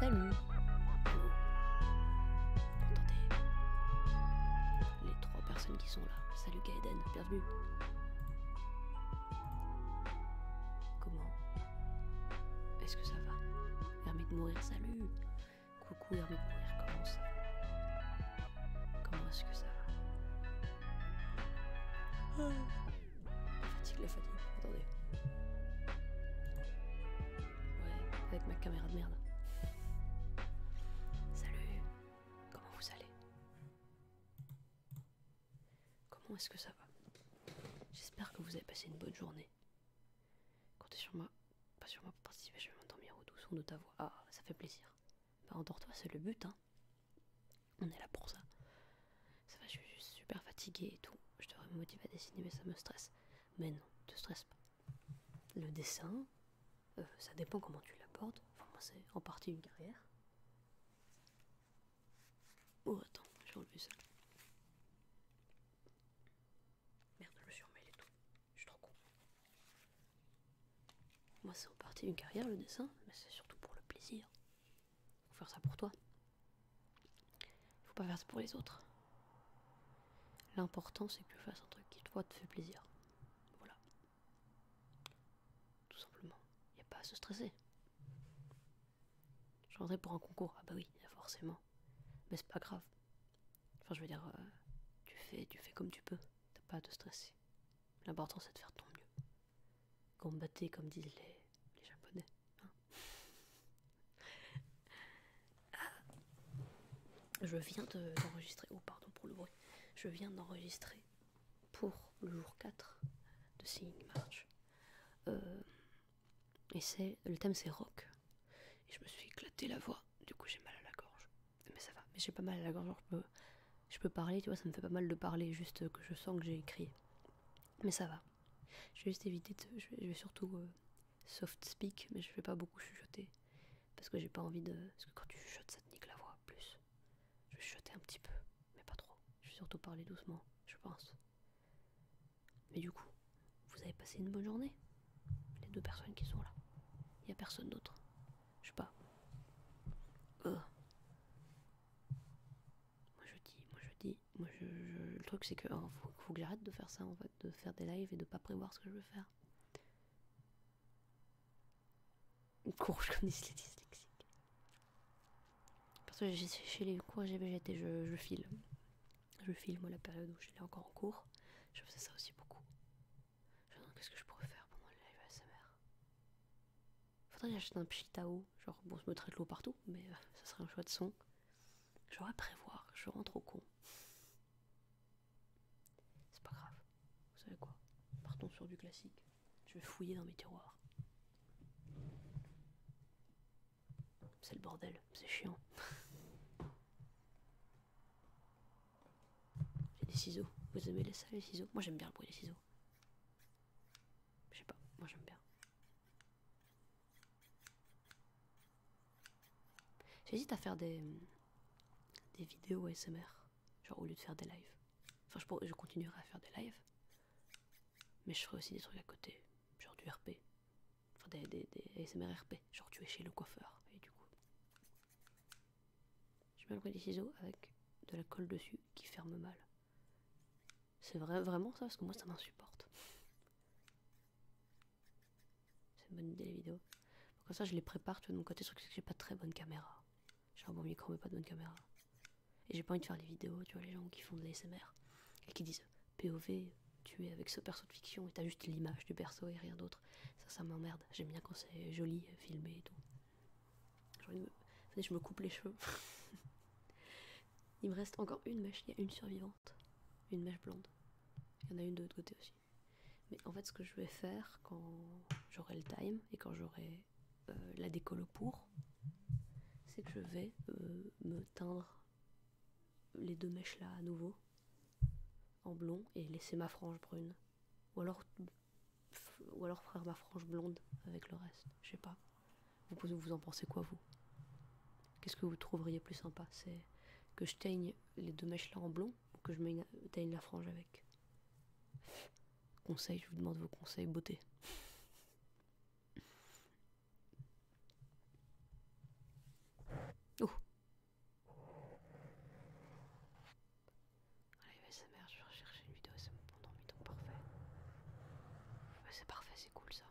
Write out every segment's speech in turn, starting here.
Salut Vous Les trois personnes qui sont là. Salut Gaëden, bienvenue Comment Est-ce que ça va de mourir, salut Coucou de mourir, comment ça Comment est-ce que ça va ah. fatigue, la fatigue. Attendez. Ouais, avec ma caméra de merde. Salut. Comment vous allez Comment est-ce que ça va J'espère que vous avez passé une bonne journée. Comptez sur moi. Pas sur moi pour participer, je vais bien au doux son de ta voix. Ah, ça fait plaisir. Bah endors-toi, c'est le but, hein. On est là pour ça. Ça va, je suis super fatiguée et tout. Je devrais me motiver à dessiner, mais ça me stresse. Mais non, te stresse pas. Le dessin, euh, ça dépend comment tu l'apportes. Enfin, moi, c'est en partie une carrière. Oh, attends, j'ai enlevé ça. Merde, je me suis et tout. Je suis trop con. Moi, c'est en partie une carrière le dessin, mais c'est surtout pour le plaisir. Faut faire ça pour toi. Faut pas faire ça pour les autres. L'important, c'est que tu fasses un truc qui, toi, te fait plaisir. Voilà. Tout simplement. il Y a pas à se stresser. Je rentrais pour un concours. Ah bah oui, forcément. Mais c'est pas grave. Enfin, je veux dire, euh, tu fais, tu fais comme tu peux. T'as pas à te stresser. L'important c'est de faire ton mieux. combattre comme disent les, japonais. Hein. Ah. je viens d'enregistrer. Oh, pardon pour le bruit. Je viens d'enregistrer pour le jour 4 de Singing March. Euh, et c'est le thème c'est rock. Et je me suis éclaté la voix. Du coup j'ai mal à la gorge mais ça va, mais j'ai pas mal la gorge, je peux, parler, tu vois, ça me fait pas mal de parler, juste que je sens que j'ai écrit. Mais ça va. Je vais juste éviter de. Je vais, surtout euh, soft speak, mais je vais pas beaucoup chuchoter. Parce que j'ai pas envie de. Parce que quand tu chuchotes, ça te nique la voix, plus. Je vais chuchoter un petit peu, mais pas trop. Je vais surtout parler doucement, je pense. Mais du coup, vous avez passé une bonne journée Les deux personnes qui sont là. Il a personne d'autre. Je sais pas. Euh. Moi je dis, moi je dis, moi je, le truc c'est que hein, faut, que j'arrête de faire ça en fait, de faire des lives et de pas prévoir ce que je veux faire. Une courge comme les dyslexiques. Parce que chez les cours GBGT, et je file. Je file moi la période où je encore en cours. Je faisais ça aussi beaucoup. Je qu'est-ce que je pourrais faire pendant mon live ASMR. Faudrait que j'achète un eau. genre bon je me traite l'eau partout, mais euh, ça serait un choix de son. J'aurais prévoir, je rentre au con. C'est pas grave, vous savez quoi Partons sur du classique. Je vais fouiller dans mes tiroirs. C'est le bordel, c'est chiant. J'ai des ciseaux. Vous aimez les ça, les ciseaux Moi j'aime bien le bruit des ciseaux. Je sais pas, moi j'aime bien. J'hésite à faire des, des vidéos ASMR, genre au lieu de faire des lives. Enfin, je, je continuerai à faire des lives, mais je ferai aussi des trucs à côté, genre du RP. Enfin, des, des, des ASMR RP, genre tu es chez le coiffeur, et du coup. J'ai mal pris des ciseaux avec de la colle dessus qui ferme mal. C'est vrai, vraiment ça parce que moi ça m'insupporte. C'est une bonne idée les vidéos. ça je les prépare, de mon côté, sur que j'ai pas très bonne caméra. J'ai un bon micro mais pas de bonne caméra. Et j'ai pas envie de faire des vidéos, tu vois, les gens qui font de l'ASMR et qui disent POV, tu es avec ce perso de fiction et t'as juste l'image du perso et rien d'autre. Ça, ça m'emmerde. J'aime bien quand c'est joli, filmé et tout je me coupe les cheveux. Il me reste encore une mèche, il y a une survivante. Une mèche blonde. Il y en a une de l'autre côté aussi. Mais en fait, ce que je vais faire quand j'aurai le time et quand j'aurai euh, la décolle pour, c'est que je vais euh, me teindre les deux mèches là à nouveau en blond et laisser ma frange brune. Ou alors ou alors faire ma frange blonde avec le reste, je sais pas. Vous, vous en pensez quoi vous Qu'est-ce que vous trouveriez plus sympa C'est que je teigne les deux mèches là en blond ou que je teigne la frange avec Conseil, je vous demande vos conseils beauté. Oh. Allez, sa mère, je vais rechercher une vidéo, c'est mon donc parfait. c'est parfait, c'est cool ça.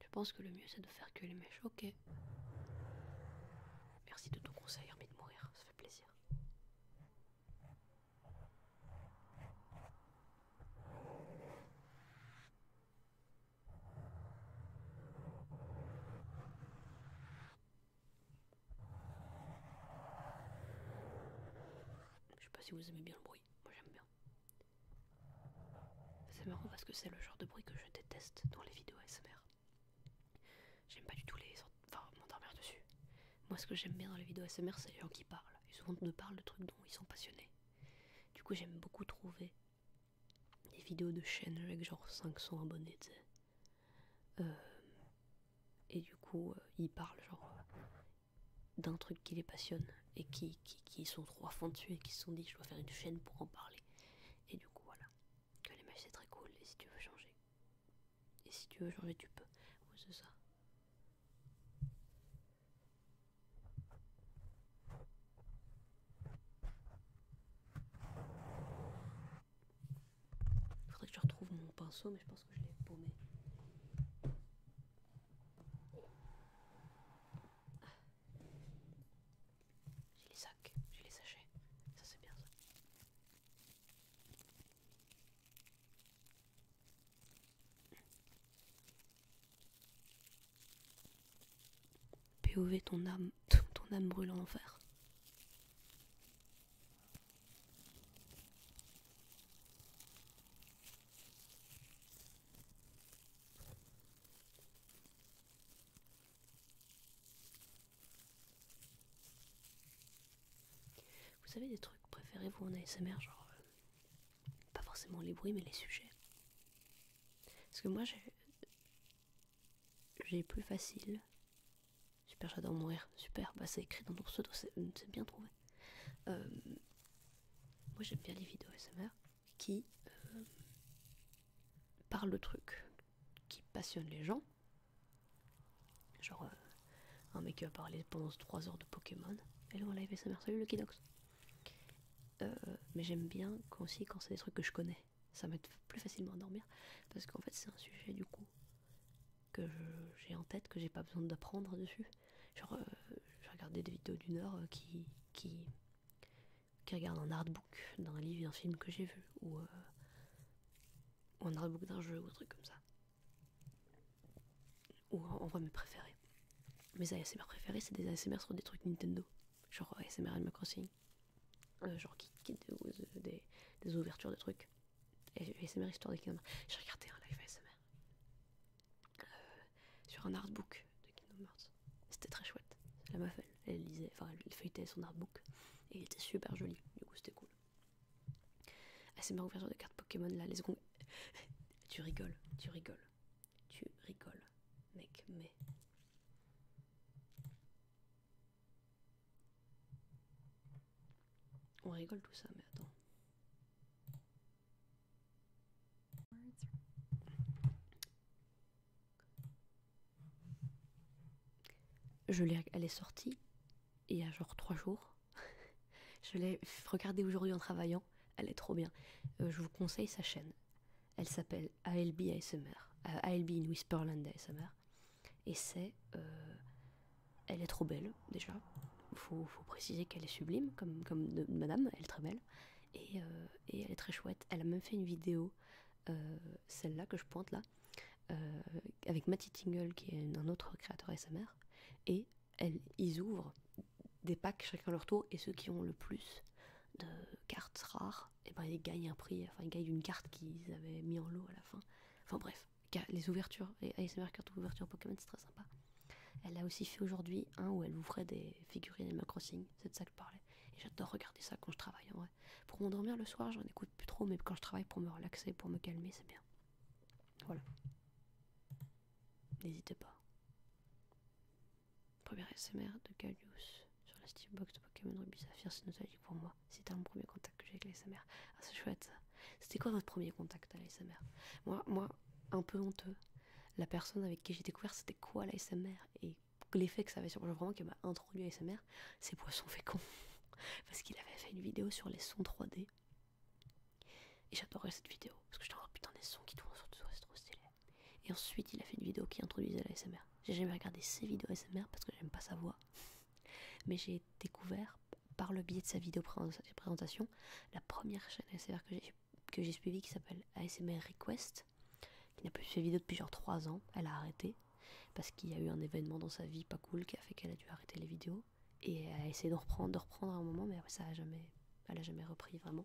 Je pense que le mieux c'est de faire que les mèches, ok. Merci de ton conseil, envie de mourir, ça fait plaisir. Je sais pas si vous aimez bien le bruit, moi j'aime bien. C'est marrant parce que c'est le genre de bruit que je déteste dans les vidéos ASMR. J'aime pas du tout les... Enfin, m'endormir dessus. Moi ce que j'aime bien dans les vidéos ASMR, c'est les gens qui parlent. ils souvent nous parlent de trucs dont ils sont passionnés. Du coup, j'aime beaucoup trouver des vidéos de chaîne avec genre 500 abonnés, euh, et du coup, euh, ils parlent genre d'un truc qui les passionne et qui, qui, qui sont trop fans dessus et qui se sont dit je dois faire une chaîne pour en parler. Et du coup, voilà. Que les mecs c'est très cool et si tu veux changer. Et si tu veux changer, tu peux. c'est ça. Il faudrait que je retrouve mon pinceau, mais je pense que je l'ai paumé. Ah. J'ai les sacs, j'ai les sachets. Ça c'est bien ça. POV ton âme, ton âme brûle en enfer. Vous savez des trucs préférés vous en ASMR, genre euh, pas forcément les bruits mais les sujets. Parce que moi j'ai j'ai plus facile. Super, j'adore mourir. Super, bah c'est écrit dans ton pseudo, c'est hum, bien trouvé. Euh, moi j'aime bien les vidéos SMR qui euh, parlent de trucs qui passionnent les gens. Genre euh, un mec qui a parlé pendant 3 heures de Pokémon. Hello live SMR, salut le Nox. mais j'aime bien aussi quand c'est des trucs que je connais ça m'aide plus facilement à dormir parce qu'en fait c'est un sujet du coup que j'ai en tête que j'ai pas besoin d'apprendre dessus genre euh, regardais j'ai des vidéos d'une heure euh, qui qui qui regarde un artbook d'un livre d'un film que j'ai vu ou, euh, un artbook d'un jeu ou un truc comme ça ou en, en vrai mes préférés mes ASMR préférés c'est des ASMR sur des trucs Nintendo genre ASMR Animal Crossing euh, genre qui, qui des, euh, des, des ouvertures de trucs. Et ASMR histoire de Kingdom. J'ai regardé un live ASMR euh, sur un artbook de Kingdom C'était très chouette. La meuf, elle, lisait, enfin, elle feuilletait son artbook et il était super joli. Du coup, c'était cool. ASMR ouverture de cartes Pokémon là, les secondes. tu rigoles, tu rigoles. Tu rigoles, mec, mais... On rigole tout ça, mais attends. elle est sortie il y a genre trois jours. je l'ai regardée aujourd'hui en travaillant. Elle est trop bien. Euh, je vous conseille sa chaîne. Elle s'appelle ALB ASMR. Euh, in Whisperland ASMR. Et c'est. Euh, elle est trop belle, déjà. Faut, faut préciser qu'elle est sublime, comme, comme madame, elle est très belle. Euh, et, elle est très chouette. Elle a même fait une vidéo, celle-là que je pointe là, avec Matty Tingle, qui est un autre créateur ASMR. Et elle, ils ouvrent des packs chacun leur tour, et ceux qui ont le plus de cartes rares et eh bien ils gagnent un prix, enfin ils gagnent une carte qu'ils avaient mis en lot à la fin. Enfin bref, les ouvertures, les ASMR cartes ouvertures Pokémon, c'est très sympa. Elle a aussi fait aujourd'hui un où elle vous ferait des figurines ma Crossing, c'est de ça que je parlais. Et j'adore regarder ça quand je travaille en vrai. Pour m'endormir le soir, j'en écoute plus trop, mais quand je travaille pour me relaxer, pour me calmer, c'est bien. Voilà. N'hésitez pas. Premier SMR de Callius sur la Steambox de Pokémon Ruby Saphir, c'est nostalgique pour moi. C'était mon premier contact que j'ai avec l'ASMR. Ah, c'est chouette C'était quoi votre premier contact à l'ASMR Moi, moi, un peu honteux. La personne avec qui j'ai découvert c'était quoi l'ASMR et l'effet que ça avait sur moi, vraiment qui m'a introduit à l'ASMR, c'est Poisson Fécond. Parce qu'il avait fait une vidéo sur les sons 3D. Et j'adorais cette vidéo parce que j'étais en putain des sons qui tournent sur tout ça, c'est trop stylé. Et ensuite, il a fait une vidéo qui introduisait la SMR. J'ai jamais regardé ses vidéos ASMR parce que j'aime pas sa voix. Mais j'ai découvert, par le biais de sa vidéo présentation, la première chaîne ASMR que j'ai suivie qui s'appelle ASMR Request, qui n'a plus fait vidéo depuis genre 3 ans. Elle a arrêté parce qu'il y a eu un événement dans sa vie pas cool qui a fait qu'elle a dû arrêter les vidéos. Et elle a essayé de reprendre, de reprendre à un moment, mais ça a jamais, elle a jamais repris vraiment.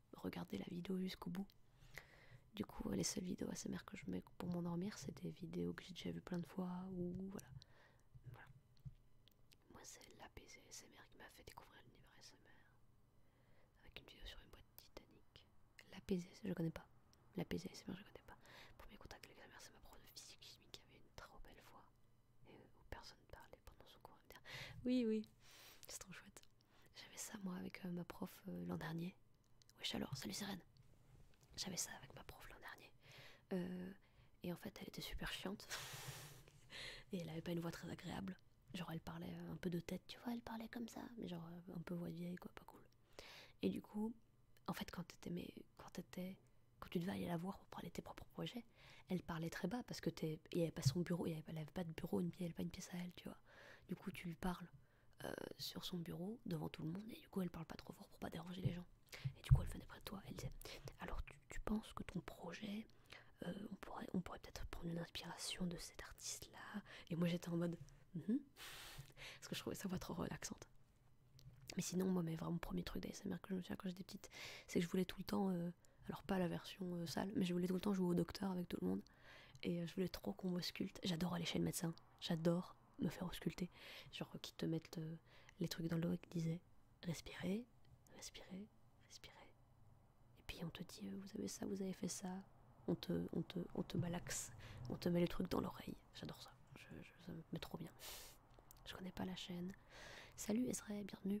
regarder la vidéo jusqu'au bout. Du coup, les seules vidéos ASMR que je mets pour m'endormir, c'est des vidéos que j'ai déjà vu plein de fois ou voilà. Moi, c'est l'APC ASMR qui m'a fait découvrir l'univers ASMR avec une vidéo sur une boîte Titanic. L'APC, je connais pas. L'APC ASMR, je connais pas. Premier contact avec mère, c'est ma prof de physique chimique qui avait une trop belle voix. Euh, où personne parlait pendant son cours. oui, oui, c'est trop chouette. J'avais ça moi avec euh, ma prof euh, l'an dernier. Wesh alors, salut Sirène. J'avais ça avec ma prof l'an dernier. et en fait, elle était super chiante. et elle avait pas une voix très agréable. Genre, elle parlait un peu de tête, tu vois, elle parlait comme ça, mais genre un peu voix vieille, quoi, pas cool. Et du coup, en fait, quand mais quand quand tu devais aller la voir pour parler tes propres projets, elle parlait très bas parce que t'es. Il n'y avait pas son bureau, elle n'avait pas de bureau, une, elle pas une pièce à elle, tu vois. Du coup, tu lui parles euh, sur son bureau devant tout le monde et du coup, elle parle pas trop fort pour pas déranger les gens. Et du coup, elle venait près de toi, elle disait Alors, tu, penses que ton projet, euh, on pourrait, on pourrait peut-être prendre une inspiration de cet artiste-là Et moi, j'étais en mode hum? Parce que je trouvais ça voix trop relaxante. Mais sinon, moi, mais vraiment, premier truc d'ASMR que je me quand j'étais petite, c'est que je voulais tout le temps. Euh, euh, alors pas la version euh, sale, mais je voulais tout le temps jouer au docteur avec tout le monde. Et euh, je voulais trop qu'on m'ausculte. J'adore aller chez le médecin. J'adore me faire ausculter. Genre qu'ils te mettent les trucs dans l'oreille Qui disaient respirez, respirez, respirez. Et puis on te dit vous avez ça, vous avez fait ça. On te, on te, on te on te met les trucs dans l'oreille. J'adore ça. Je, ça me met trop bien. Je connais pas la chaîne. Salut Ezra, bienvenue.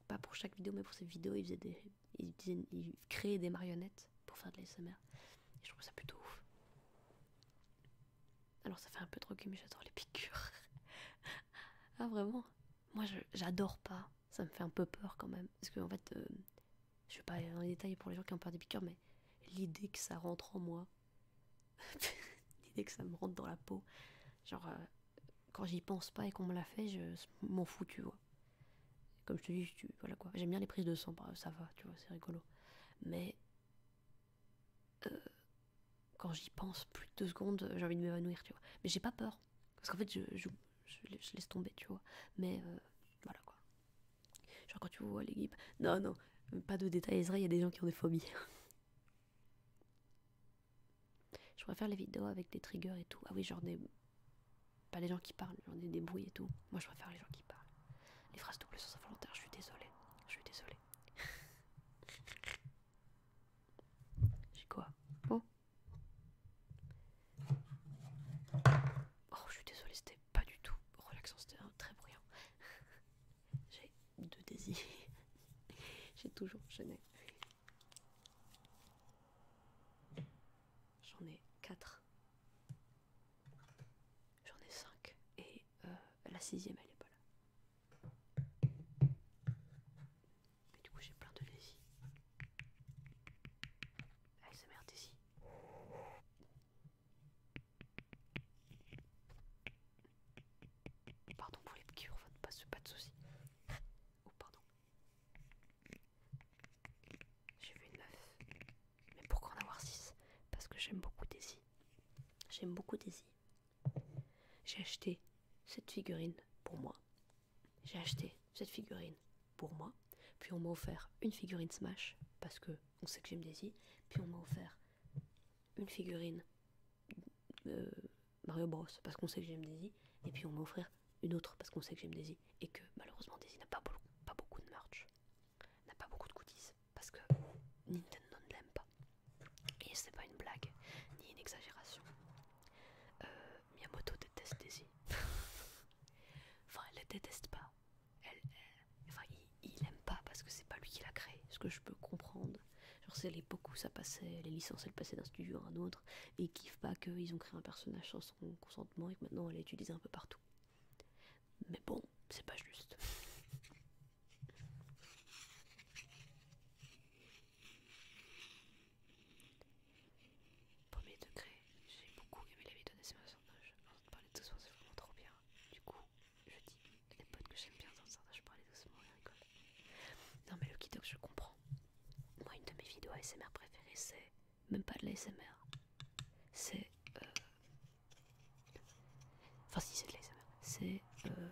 pas pour chaque vidéo, mais pour cette vidéo, ils faisaient des, des marionnettes pour faire de l'ASMR. je trouve ça plutôt ouf. Alors ça fait un peu trop mais j'adore les piqûres. ah vraiment Moi j'adore pas. Ça me fait un peu peur quand même. Parce que en fait, euh, je vais pas aller dans les pour les gens qui ont peur des piqûres, mais l'idée que ça rentre en moi, l'idée que ça me rentre dans la peau, genre euh, quand j'y pense pas et qu'on me l'a fait, je m'en fous, tu vois. Comme je te dis, tu, voilà quoi. J'aime bien les prises de sang, bah, ça va, tu vois, c'est rigolo. Mais euh, quand j'y pense plus de deux secondes, euh, j'ai envie de m'évanouir, tu vois. Mais j'ai pas peur, parce qu'en fait, je, je, laisse tomber, tu vois. Mais euh, voilà quoi. Genre quand tu vois l'équipe, non, non, pas de détails, il y a des gens qui ont des phobies. Je préfère les vidéos avec des triggers et tout. Ah oui, genre des. Pas les gens qui parlent, j'en ai des bruits et tout. Moi je préfère les gens qui parlent. Les phrases doubles sens involontaire, je suis désolée. Je suis désolée. J'ai quoi Oh. Oh, je suis désolée, c'était pas du tout relaxant, c'était très bruyant. J'ai deux désirs. J'ai toujours gêné J'en ai 4. J'en ai 5. Et euh, la sixième, elle est pas là. Mais du coup, j'ai plein de lazy. Allez, sa merde ici. Pardon pour les piqûres, pas passe pas de soucis. Oh, pardon. J'ai vu une meuf. Mais pourquoi en avoir 6 Parce que j'aime beaucoup Daisy. J'aime beaucoup Daisy. J'ai acheté cette figurine pour moi. J'ai acheté cette figurine pour moi. Puis on m'a offert une figurine Smash parce que on sait que j'aime Daisy. Puis on m'a offert une figurine euh, Mario Bros parce qu'on sait que j'aime Daisy, et puis on va une autre parce qu'on sait que j'aime Daisy, et que malheureusement Daisy n'a pas, beaucoup de merch, n'a pas beaucoup de goodies, parce que Nintendo ne l'aime pas. Et c'est pas une blague, ni une exagération. Euh, Miyamoto déteste Daisy. enfin, elle déteste pas. enfin, il, n'aime pas parce que c'est pas lui qui l'a créé ce que je peux comprendre Genre, c'est l'époque où ça passait, les licences elles passaient d'un studio à un autre, et ils kiffent pas qu'ils ont créé un personnage sans son consentement et que maintenant elle est utilisée un peu partout. Mais bon, c'est pas juste. Premier degré, j'ai beaucoup aimé la vidéo de ces personnages. Avant de parler doucement, c'est vraiment trop bien. Du coup, je dis les potes que j'aime bien dans le je parlais doucement et rigole. Non mais le Kidox je comprends. Moi une de mes vidéos ASMR préférées c'est même pas de l'ASMR. C'est... Euh, enfin si c'est de l'ASMR. C'est euh,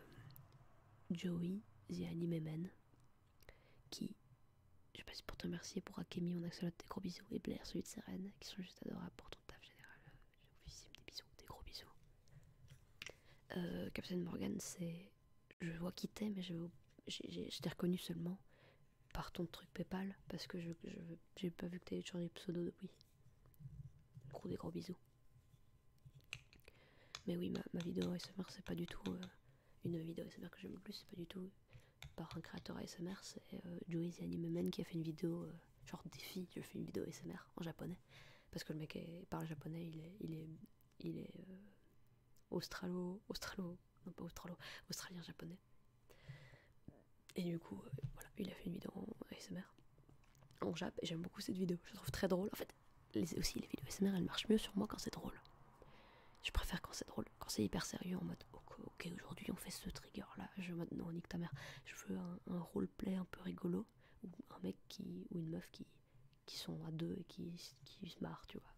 Joey The Anime Man qui... Je sais passe pour te remercier pour Akemi, on accélère des gros bisous. Et Blair, celui de Seren, qui sont juste adorables pour ton taf général. des euh, bisous, des gros bisous. Captain Morgan, c'est je vois qui t'es, mais je, t'ai reconnu seulement par ton truc Paypal parce que je j'ai pas vu que t'avais changé de pseudo depuis. Gros des gros bisous. Mais oui, ma, vidéo ASMR, c'est pas du tout euh, une vidéo ASMR que j'aime plus, c'est pas du tout par un créateur ASMR, c'est euh, qui a fait une vidéo euh, genre défi, je fais une vidéo ASMR en japonais parce que le mec parle japonais, il est, il est, il australo, australo, non pas australo, australien japonais. Et du coup, euh, voilà, il a fait une vidéo en ASMR en Jap et j'aime beaucoup cette vidéo, je trouve très drôle. En fait, aussi les vidéos ASMR elles marchent mieux sur moi quand c'est drôle. Je préfère quand c'est drôle, quand c'est hyper sérieux en mode ok, aujourd'hui on fait ce trigger là, je maintenant nique ta mère, je veux un, un roleplay un peu rigolo ou un mec qui ou une meuf qui qui sont à deux et qui, qui se marrent, tu vois.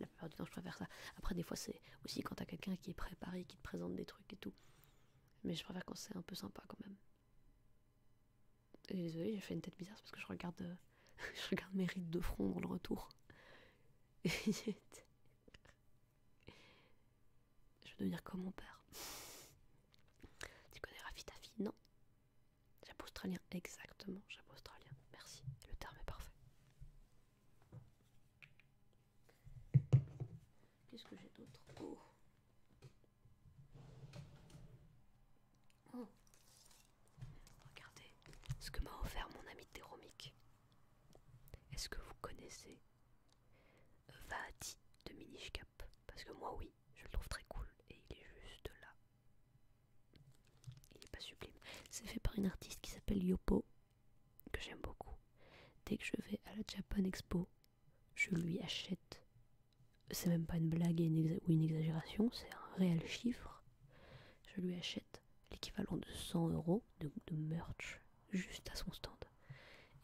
La plupart du temps, je préfère ça. Après, des fois, c'est aussi quand t'as quelqu'un qui est préparé, qui te présente des trucs et tout. Mais je préfère quand c'est un peu sympa quand même. désolée, j'ai fait une tête bizarre parce que je regarde, euh, je regarde mes rides de front dans le retour. je veux devenir comme mon père. Tu connais Rafi Non. Chapeau australien, exactement, chapeau australien. Merci, le terme est parfait. Qu'est-ce que j'ai d'autre oh. Oh. Regardez ce que m'a offert mon ami Théromique. Est-ce que vous connaissez Vati de Cap Parce que moi oui, je le trouve très cool et il est juste là il n'est pas sublime. C'est fait par une artiste qui s'appelle Yopo, que j'aime beaucoup. Dès que je vais à la Japan Expo, je lui achète. C'est même pas une blague ou une exagération, c'est un réel chiffre. Je lui achète l'équivalent de 100 euros de, merch juste à son stand.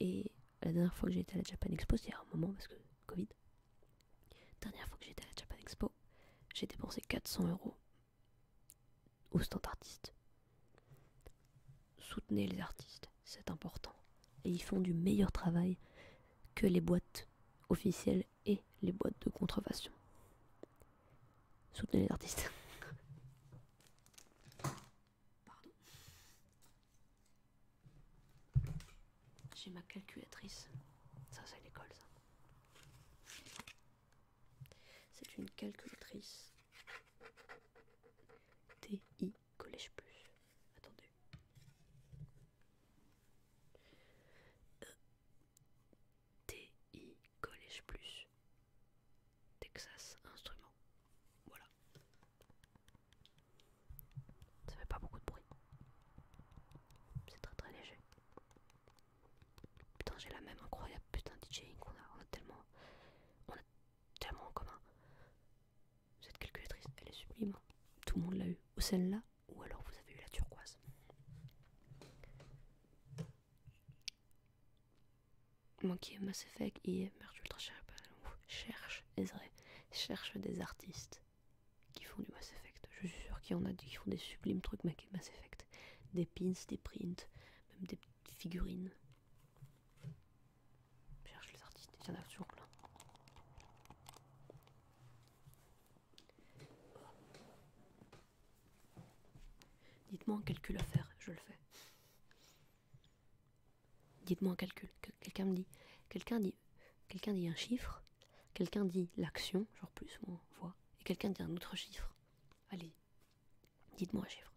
Et la dernière fois que j'ai été à la Japan Expo, c'était à un moment parce que Covid, Dernière fois que j'étais à la Japan Expo, j'ai dépensé 400 euros au stand artiste. Soutenez les artistes, c'est important. Et ils font du meilleur travail que les boîtes officielles et les boîtes de contrefaçon. Soutenez les artistes. Pardon. J'ai ma calculatrice. Ça, c'est l'école, ça. C'est une calculatrice. TI Collège Plus. Attendez. Euh, TI Collège Plus. Texas Instruments. Voilà. Ça fait pas beaucoup de bruit. C'est très très léger. Putain, j'ai la même incroyable putain DJing qu'on a. On a tellement. On a tellement en commun. Cette calculatrice, elle est sublime. Tout le monde l'a eu. Ou celle-là, ou alors vous avez eu la turquoise. Manquer Mass Effect et Merge Ultra Cherche, cherche, cherche des artistes qui font du Mass Effect. Je suis sûr qu'il y en a qui font des sublimes trucs Mass Effect. Des pins, des prints, même des figurines. Je cherche les artistes, il y en a toujours plein. Dites-moi un calcul à faire, je le fais. Dites-moi un calcul. Quelqu'un me dit. Quelqu'un dit. Quelqu'un dit un chiffre Quelqu'un dit l'action, genre plus ou moins, voix, et quelqu'un dit un autre chiffre. Allez, dites-moi un chiffre.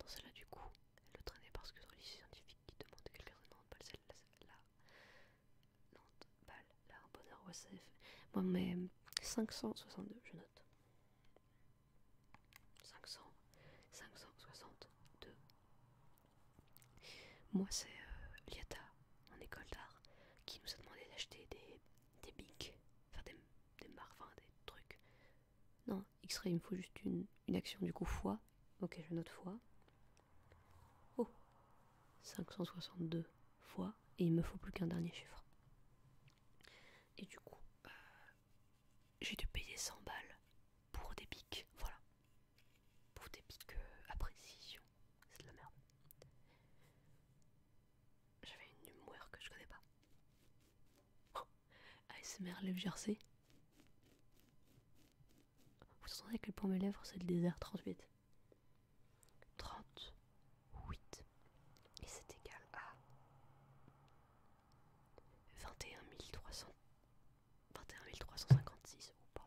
Dans celle-là, du coup, elle le traînait parce que sur scientifiques scientifique, qui demande quelqu'un de Nantes, pas celle-là, celle-là, bonheur, OSF. Moi, mais 562, je note. 500, 562, moi, c'est euh, Liata, en école d'art, qui nous a demandé d'acheter des, des bics, enfin des, des des trucs. Non, X-ray, il me faut juste une, action, du coup, fois. Ok, je note fois. Oh 562 fois, et il me faut plus qu'un dernier chiffre. Et du coup, euh, j'ai dû payer 100 balles pour des bics, voilà. Pour des que à précision, c'est de la merde. J'avais une humeur que je connais pas. ASMR lèvres jersey. Vous entendez que pour mes lèvres c'est le désert 38. 38. Et c'est égal à 21 300. 21 356. ou pas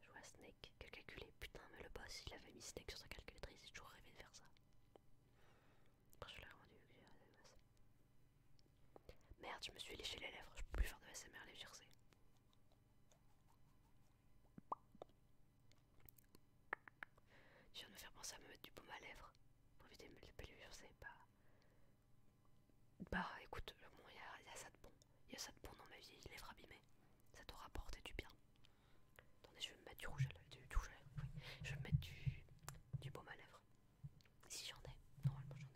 je vois Snake, calculer. Putain, mais le boss, il avait mis Snake sur sa calculatrice, j'ai toujours rêvé de faire ça. Après, je l'ai rendu, Merde, je me suis léché les lèvres, je peux plus faire de SMR les vircées. Je viens de me faire penser à me mettre du baume à lèvres pour éviter de me les vircées, bah. Bah écoute, bon, il y, a ça de bon. Il y a ça de bon dans ma vie, les lèvres abîmées. Ça t'aura porté du bien. Attendez, je vais me mettre du rouge à lèvres. Du, rouge à lèvres oui. Je vais me mettre du, du baume à lèvres. Si j'en ai. Normalement, j'en ai.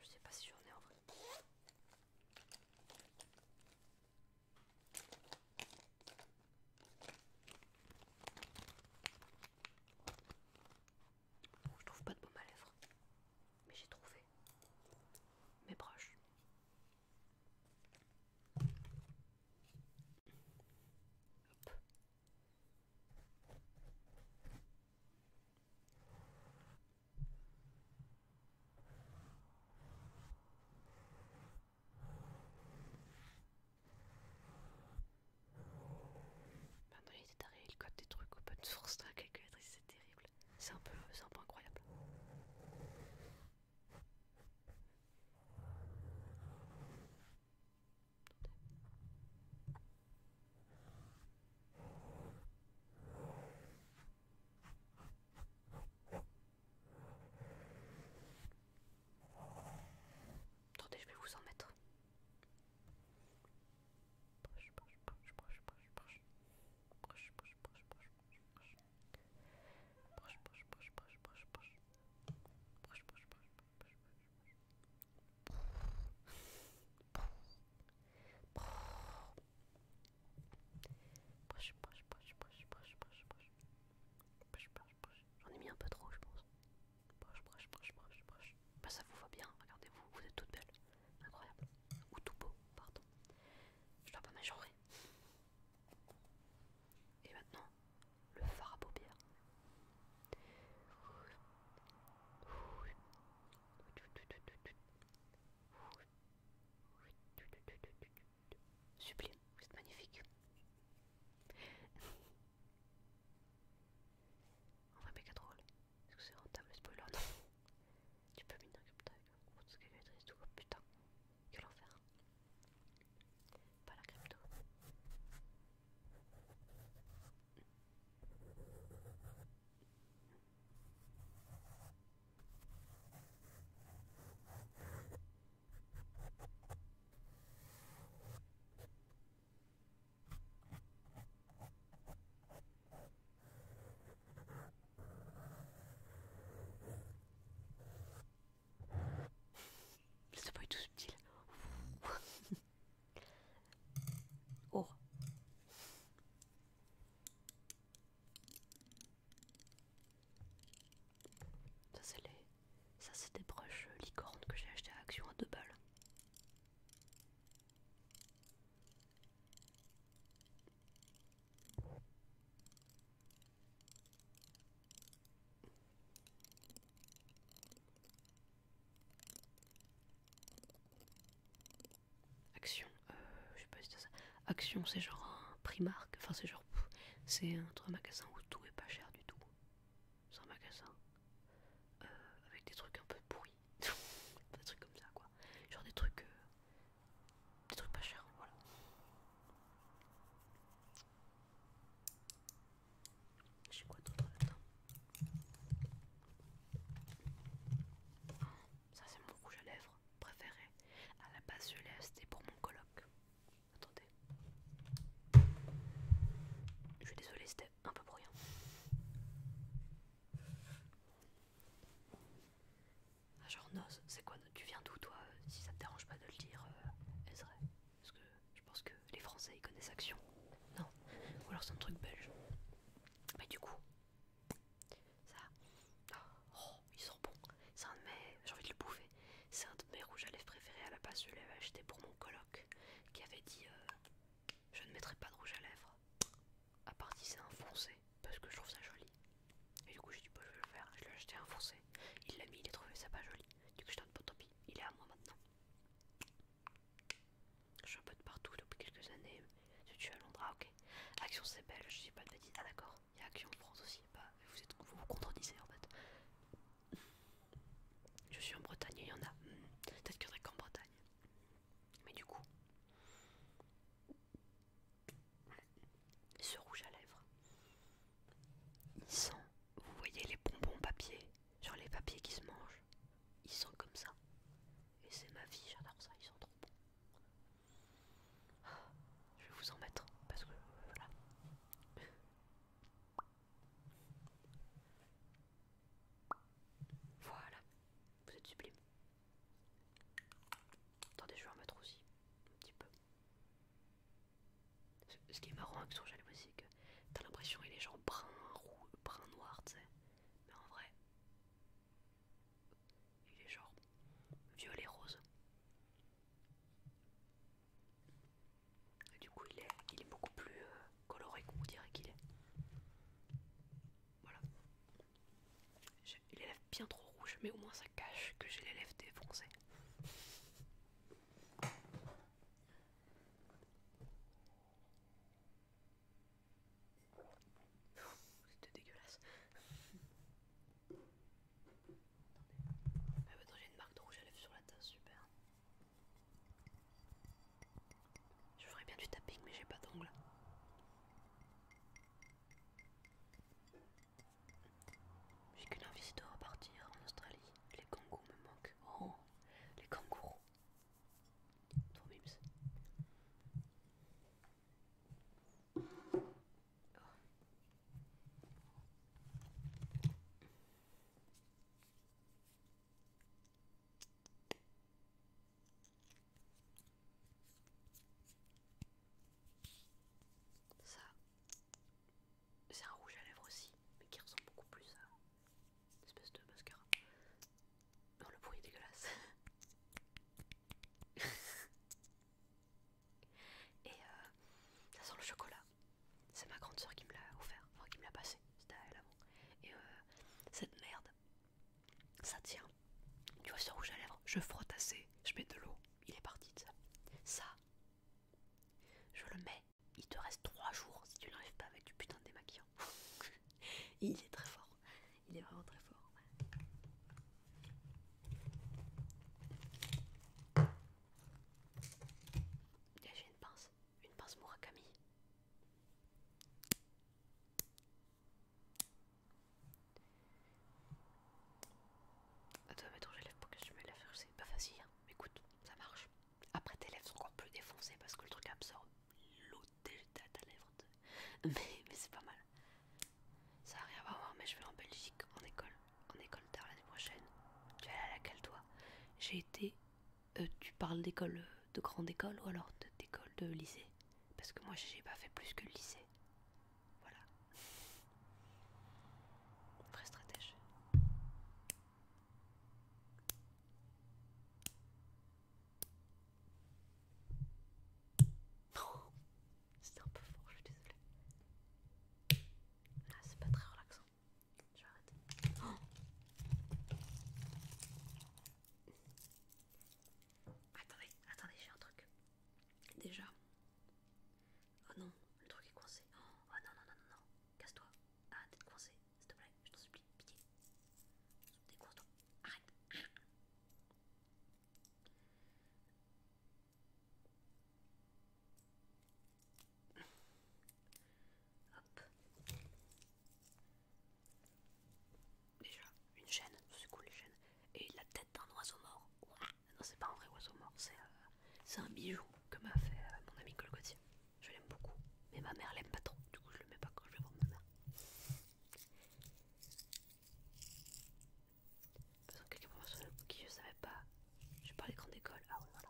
Je sais pas si j'en ai en vrai je trouve pas de baume à lèvres, mais j'ai trouvé mes broches non, il est taré, il code des trucs open source dans la calculatrice, c'est terrible. C'est un, un peu incroyable. Attendez, je vais vous en mettre. Poche, J'en ai mis un peu trop, je pense. Bah, ça vous va bien, regardez-vous, vous êtes toutes belles. Incroyable. Ou tout beau, pardon. Je dois pas m'agenrer. Et maintenant, le fard à paupières. Sublime, vous êtes magnifique. En vrai, drôle. est que c'est rentable spoiler tu peux crypto avec un tout. Oh putain, Pas la crypto. C'est pas du tout subtil. oh. Ça c'est les ça, c'est des broches euh, licorne que j'ai acheté à Action à 2 balles. Action, euh, c'est c'est genre un Primark, enfin c'est genre. C'est un magasin où tout est pas cher du tout sans un magasin euh, avec des trucs un peu pourris, des trucs comme ça quoi, genre des trucs, euh, des trucs pas chers, voilà. J'ai quoi d'autre là Ça c'est mon rouge à lèvres préféré. À la base, je l'ai acheté pour mon coloc. Attendez. Je suis désolée, c'était un peu bruyant. Ah, genre, Noz, c'est quoi Tu viens d'où, toi Si ça te dérange pas de le dire, euh, Parce que je pense que les Français ils connaissent Action. Non. Ou alors c'est un truc belge. Mais du coup, ça. Oh, ils sont bon C'est un de mes. J'ai envie de le bouffer. C'est un de mes rouges à lèvres préférés. À la base, je l'avais acheté pour mon coloc qui avait dit euh, Je ne mettrai pas de rouge à lèvres à part si c'est un foncé parce que je trouve ça joli. Et du coup, j'ai dit bah, je vais le faire. Je l'ai acheté un foncé. Il l'a mis, il a trouvé ça pas joli. Du coup, je t'en pas tant pis. Il est à moi maintenant. Je suis un peu de partout depuis quelques années. Je tu à Londres, ah, ok. Action c'est belle, je sais pas de dire Ah d'accord, il y a Action en France aussi. pas bah, vous êtes, vous, vous contredisez en fait. Je suis en Bretagne, il y en a. Hmm. Peut-être qu'il n'y en a qu'en Bretagne. Mais du coup, ce rouge à lèvres, il sent, vous voyez les bonbons papier, sur les papiers qui se mangent, ils sont comme ça. Et c'est ma vie, j'adore ça, ils sont trop bons. Ah, je vais vous en mettre parce que voilà. Voilà, vous êtes sublime. Attendez, je vais en mettre aussi, un petit peu. Ce, qui est marrant avec son jaloux, c'est que t'as l'impression qu'il est genre brun, brun noir, tu sais. Mais en vrai, il est genre violet rose du coup, il est, beaucoup plus euh, coloré qu'on dirait qu'il est. Voilà. Il est bien trop rouge, mais au moins ça cache que j'ai les lèvres défoncées. C'était dégueulasse. Attendez. attends, ah, j'ai une marque de rouge à lèvres sur la tasse, super. Je ferais bien du tapping, mais j'ai pas d'ongles. J'ai qu'une envie de repartir en Australie. Les kangourous me manquent. Oh, les kangourous. Trop mimes. Oh. Ça, c'est un rouge à lèvres aussi, mais qui ressemble beaucoup plus à une espèce de mascara. Non, le bruit est dégueulasse. Et euh, ça sent le chocolat. C'est ma grande soeur qui me l'a offert, enfin qui me l'a passé, c'était elle avant. Et euh, cette merde, ça tient. Tu vois ce rouge à lèvres, je frotte assez, je mets de l'eau, il est parti de ça. Ça, je le mets, il te reste 3 jours si tu n'arrives pas avec du putain de démaquillant. il est très fort, il est vraiment très fort j'ai une pince, une pince Murakami. Attends, ton j'élève pour que je mets la faire, c'est pas facile, hein. écoute, ça marche. Après, tes lèvres sont encore plus défoncées parce que le truc absorbe l'eau de ta lèvre. Mais, mais c'est pas mal. Ça n'a rien à voir, mais je vais en Belgique en école en école d'art l'année prochaine. Tu vas aller à laquelle toi J'ai été. Euh, tu parles d'école euh, de grande école ou alors d'école de, lycée Parce que moi j'ai pas fait plus que le lycée. Voilà. Vrai stratège. C'était un peu fort, je suis désolée. Là, ah, c'est pas très relaxant. Je vais arrêter. Oh attendez, attendez, j'ai un truc. Déjà. Oh non, le truc est coincé. Oh non, non, non, non, non. Casse-toi. Arrête d'être coincé, s'il te plaît. Je t'en supplie, pitié. découvre toi Arrête. Déjà, une chaîne, c'est cool les chaînes. Et la tête d'un oiseau mort. Non, c'est pas un vrai oiseau mort, c'est euh, un bijou que m'a fait euh, mon ami Colgotier. Je l'aime beaucoup, mais ma mère l'aime pas trop. Du coup, je le mets pas quand je vais voir ma mère. Quelqu'un quelques qui je savais pas. Je parlais grande école. Ah oui, voilà.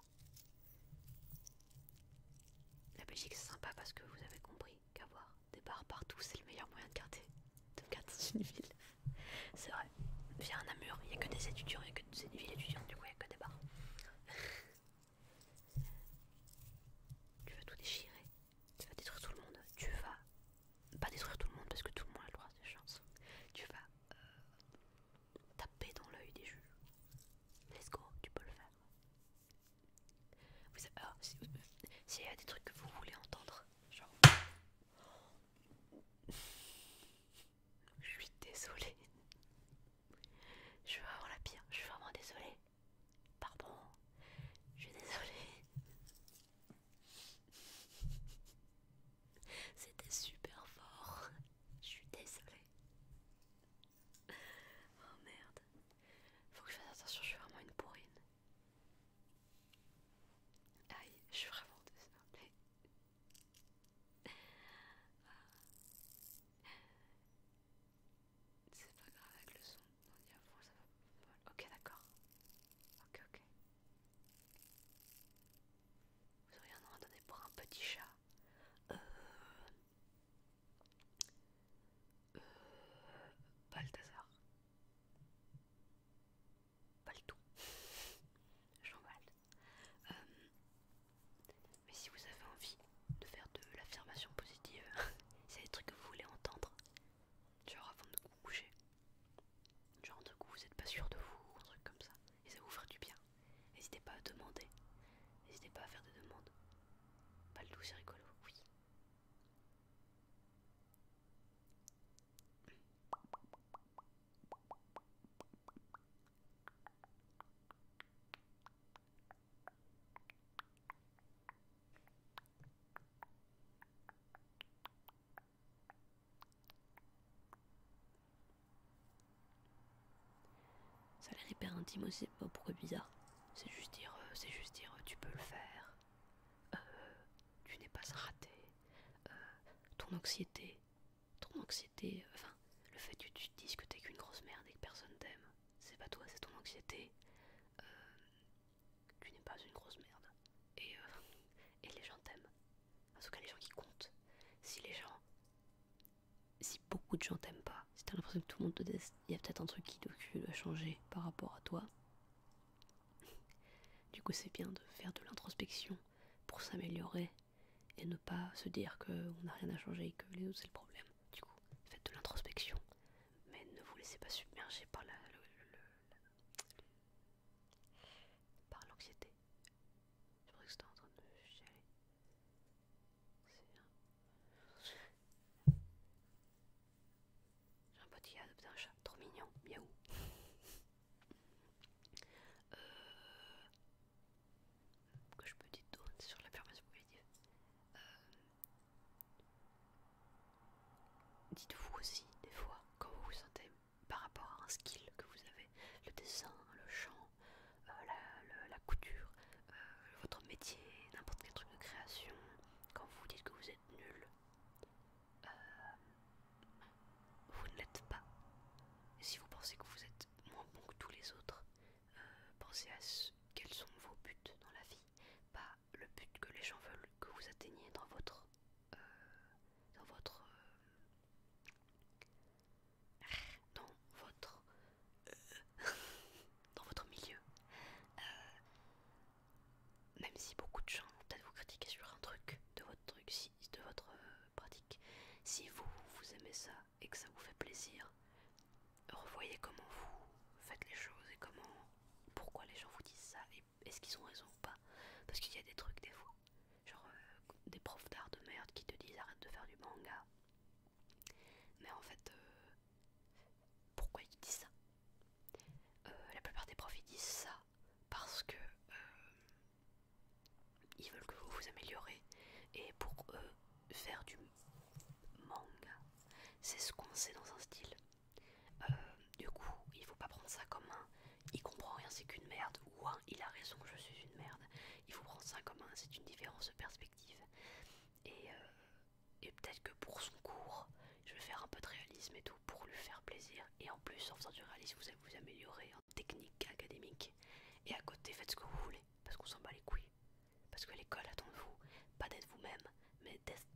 La Belgique c'est sympa parce que vous avez compris qu'avoir des bars partout c'est le meilleur moyen de garder de garder une ville. C'est vrai. Via un Namur, il n'y a que des étudiants, il n'y a que des villes étudiantes, du coup il n'y a que des bars. tu vas tout déchirer, tu vas détruire tout le monde, tu vas pas détruire tout le monde parce que tout le monde a le droit à ses chances. Tu vas euh, taper dans l'œil des juges. Let's go, tu peux le faire. Vous ah, euh, s'il y a des trucs que vous voulez entendre, genre. Je suis désolée. Je suis vraiment la pire, je suis vraiment désolée. Pardon, je suis désolée. C'était super fort. Je suis désolée. Oh merde. Faut que je fasse attention, je suis vraiment une pourrine. Aïe, je suis vraiment désolée. Ah. C'est pas grave avec le son. ça va Ok, d'accord. Ok, ok. Vous auriez un nom à donner pour un petit chat euh... Euh... Balthazar. Baltou. Jean balth euh, Mais si vous avez envie de faire de l'affirmation positive, c'est des trucs que vous voulez entendre, genre avant de vous coucher, Genre de coup, vous n'êtes pas sûr de vous, un truc comme ça. Et ça vous fera du bien. N'hésitez pas à demander. N'hésitez pas à faire des demandes. Pas le tout, c'est rigolo, oui. Ça a l'air hyper intime aussi, pas pourquoi bizarre. C'est juste dire, euh, c'est juste dire, euh, tu peux le faire. Euh, tu n'es pas raté. ton anxiété, ton anxiété, enfin, le fait que tu te dises que t'es qu'une grosse merde et que personne t'aime, c'est pas toi, c'est ton anxiété. tu n'es pas une grosse merde. et les gens t'aiment. En tout cas, les gens qui comptent. Si les gens. Si beaucoup de gens t'aiment pas, si t'as l'impression que tout le monde te déteste, il y a peut-être un truc qui doit changer par rapport à toi. Du coup, c'est bien de faire de l'introspection pour s'améliorer et ne pas se dire qu'on n'a rien à changer et que les autres c'est le problème. Du coup, faites de l'introspection, mais ne vous laissez pas submerger par la, par l'anxiété. Je crois que c'est en train de chialer. C'est bien. J'ai un petit qui chat, trop mignon, miaou. Euh, que je peux dire d'autre sur l'affirmation permanence Euh... Dites-vous aussi, des fois, quand vous vous sentez par rapport à un skill que vous avez, le dessin, le chant, euh, la, couture, euh, votre métier, n'importe quel truc de création, quand vous dites que vous êtes nul, euh, vous ne l'êtes pas. si vous pensez que vous êtes moins bon que tous les autres, pensez à ce, quels sont vos buts dans la vie, pas le but que les gens veulent que vous atteigniez dans votre, dans votre dans votre euh, dans votre milieu euh, même si beaucoup de gens peut-être vous critiquer sur un truc de votre truc de votre euh, pratique si vous vous aimez ça et que ça vous fait plaisir revoyez comment vous faites les choses et comment pourquoi les gens vous disent ça et est-ce qu'ils ont raison ou pas parce qu'il y a des trucs des fois Genre euh, des profs d'art de merde qui te disent arrête de faire du manga. Mais en fait, euh, pourquoi ils disent ça euh, La plupart des profs ils disent ça parce que ils veulent que vous vous améliorez. Et pour eux, faire du manga, c'est ce qu'on sait dans un style. du coup, il faut pas prendre ça comme un il comprend rien, c'est qu'une merde, ou il a raison, je suis une merde. Il faut prendre ça comme un, c'est une différence de perspective. Et, euh, et peut-être que pour son cours, je vais faire un peu de réalisme et tout pour lui faire plaisir. Et en plus, en faisant du réalisme, vous allez vous améliorer en technique académique. Et à côté, faites ce que vous voulez, parce qu'on s'en bat les couilles. Parce que l'école attend de vous, pas d'être vous-même, mais d'être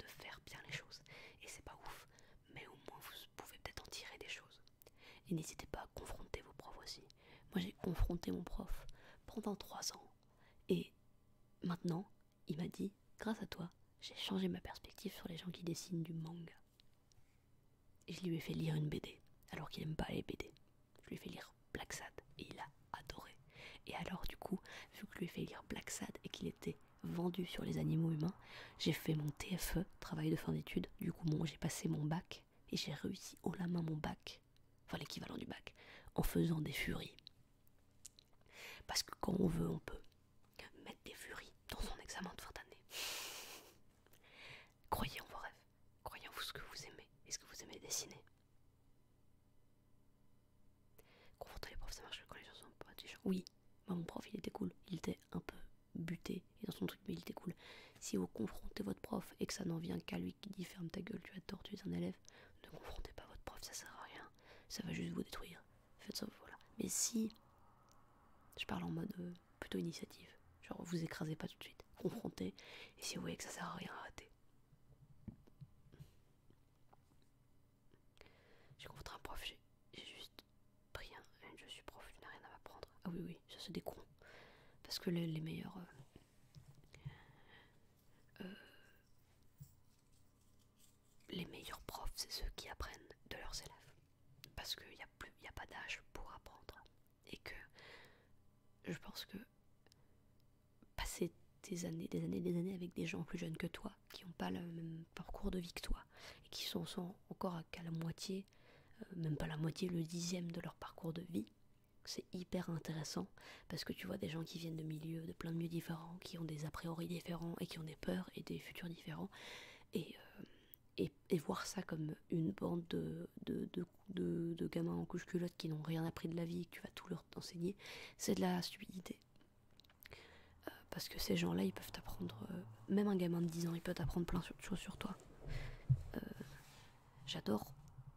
de faire bien les choses. Et c'est pas ouf, mais au moins vous pouvez peut-être en tirer des choses. Et n'hésitez pas à confronter vos profs aussi. Moi j'ai confronté mon prof pendant 3 ans. Et maintenant, il m'a dit, grâce à toi, j'ai changé ma perspective sur les gens qui dessinent du manga. Et je lui ai fait lire une BD, alors qu'il n'aime pas les BD. Je lui ai fait lire Black Sad et il a adoré. Et alors du coup, vu que je lui ai fait lire Black Sad et qu'il était vendu sur les animaux humains, j'ai fait mon TFE, travail de fin d'études, du coup j'ai passé mon bac et j'ai réussi haut la main mon bac, enfin l'équivalent du bac, en faisant des furies. Parce que quand on veut, on peut mettre des furies dans son examen de fin d'année. Croyez en vos rêves, croyez en vous ce que vous aimez et ce que vous aimez dessiner. Confrontez les profs, ça marche que les gens sont pas Oui, bah, mon prof il était cool, il était un peu buté dans son truc, mais il était cool. Si vous confrontez votre prof et que ça n'en vient qu'à lui qui dit ferme ta gueule, tu as tort, tu es un élève, ne confrontez pas votre prof, ça sert à rien, ça va juste vous détruire. Faites ça, voilà. Mais si je parle en mode euh, plutôt initiative, genre vous écrasez pas tout de suite, confrontez, et si vous voyez que ça sert à rien, arrêtez. J'ai confronté un prof, j'ai juste rien. Je suis prof, tu rien à m'apprendre. Ah oui, oui, ça c'est des Parce que les, meilleurs. Euh, euh, les meilleurs profs, c'est ceux qui apprennent de leurs élèves. Parce qu'il n'y a, plus, pas d'âge pour apprendre. Et que je pense que passer des années, des années, des années avec des gens plus jeunes que toi, qui n'ont pas le même parcours de vie que toi, et qui sont, sans encore qu'à la moitié, euh, même pas la moitié, le dixième de leur parcours de vie. C'est hyper intéressant parce que tu vois des gens qui viennent de milieux, de plein de milieux différents, qui ont des a priori différents et qui ont des peurs et des futurs différents. Et, euh, et, voir ça comme une bande de, de, de gamins en couche-culotte qui n'ont rien appris de la vie et que tu vas tout leur enseigner, c'est de la stupidité. Euh, parce que ces gens-là, ils peuvent t'apprendre, euh, même un gamin de 10 ans, il peut t'apprendre plein de choses sur toi. Euh, j'adore,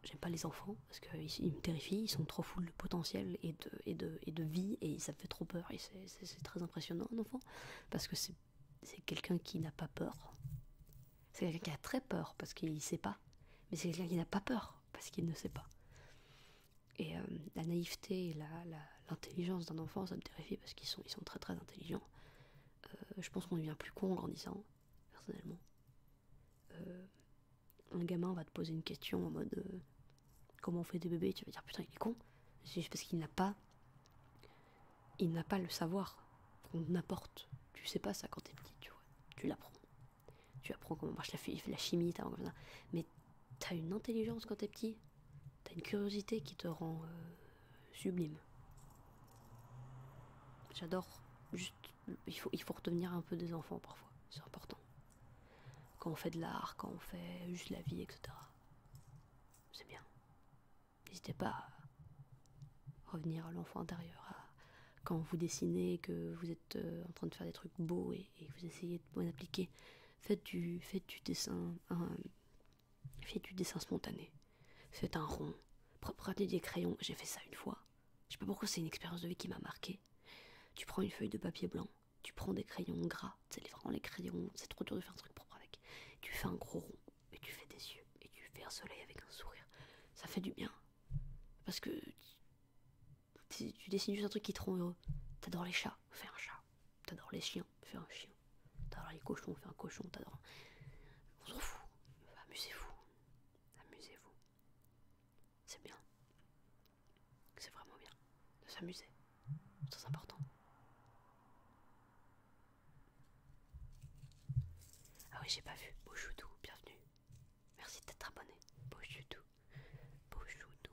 j'aime pas les enfants, parce qu'ils me terrifient, ils sont trop full de potentiel et de, et et de vie, et ça me fait trop peur, et c'est très impressionnant un enfant, parce que c'est quelqu'un qui n'a pas peur. C'est quelqu'un qui a très peur, parce qu'il sait pas. Mais c'est quelqu'un qui n'a pas peur, parce qu'il ne sait pas. Et la naïveté, la, la, l'intelligence d'un enfant, ça me terrifie parce qu'ils sont, ils très très intelligents. Euh, je pense qu'on devient plus con en grandissant, personnellement. Euh, un gamin va te poser une question en mode euh, comment on fait des bébés, tu vas dire putain il est con, c'est juste parce qu'il n'a pas il n'a pas le savoir qu'on apporte. Tu sais pas ça quand t'es petit, tu vois. Tu l'apprends. Tu apprends comment marche la, la chimie, t'as comme ça. Mais t'as une intelligence quand t'es petit. T'as une curiosité qui te rend euh, sublime. J'adore. il faut, il faut retenir un peu des enfants parfois. C'est important. Quand on fait de l'art, quand on fait juste la vie, etc. C'est bien. N'hésitez pas à revenir à l'enfant intérieur. quand vous dessinez, que vous êtes euh, en train de faire des trucs beaux et, que vous essayez de bien appliquer, faites du, faites du dessin Fais du dessin spontané. C'est un rond. Propre des crayons, j'ai fait ça une fois. Je sais pas pourquoi c'est une expérience de vie qui m'a marqué. Tu prends une feuille de papier blanc, tu prends des crayons gras, c'est vraiment les crayons, c'est trop dur de faire un truc propre avec. Tu fais un gros rond et tu fais des yeux et tu fais un soleil avec un sourire. Ça fait du bien. Parce que tu, tu dessines juste un truc qui te rend heureux. T'adores les chats, fais un chat t'adores les chiens, fais un chien, t'adores les cochons, fais un cochon, t'adores. On s'en fout, amusez-vous, amusez-vous. C'est bien, c'est vraiment bien de s'amuser, c'est important. Ah oui, j'ai pas vu, Beauchoutou, bienvenue. Merci d'être abonné, bonjour Beauchoutou,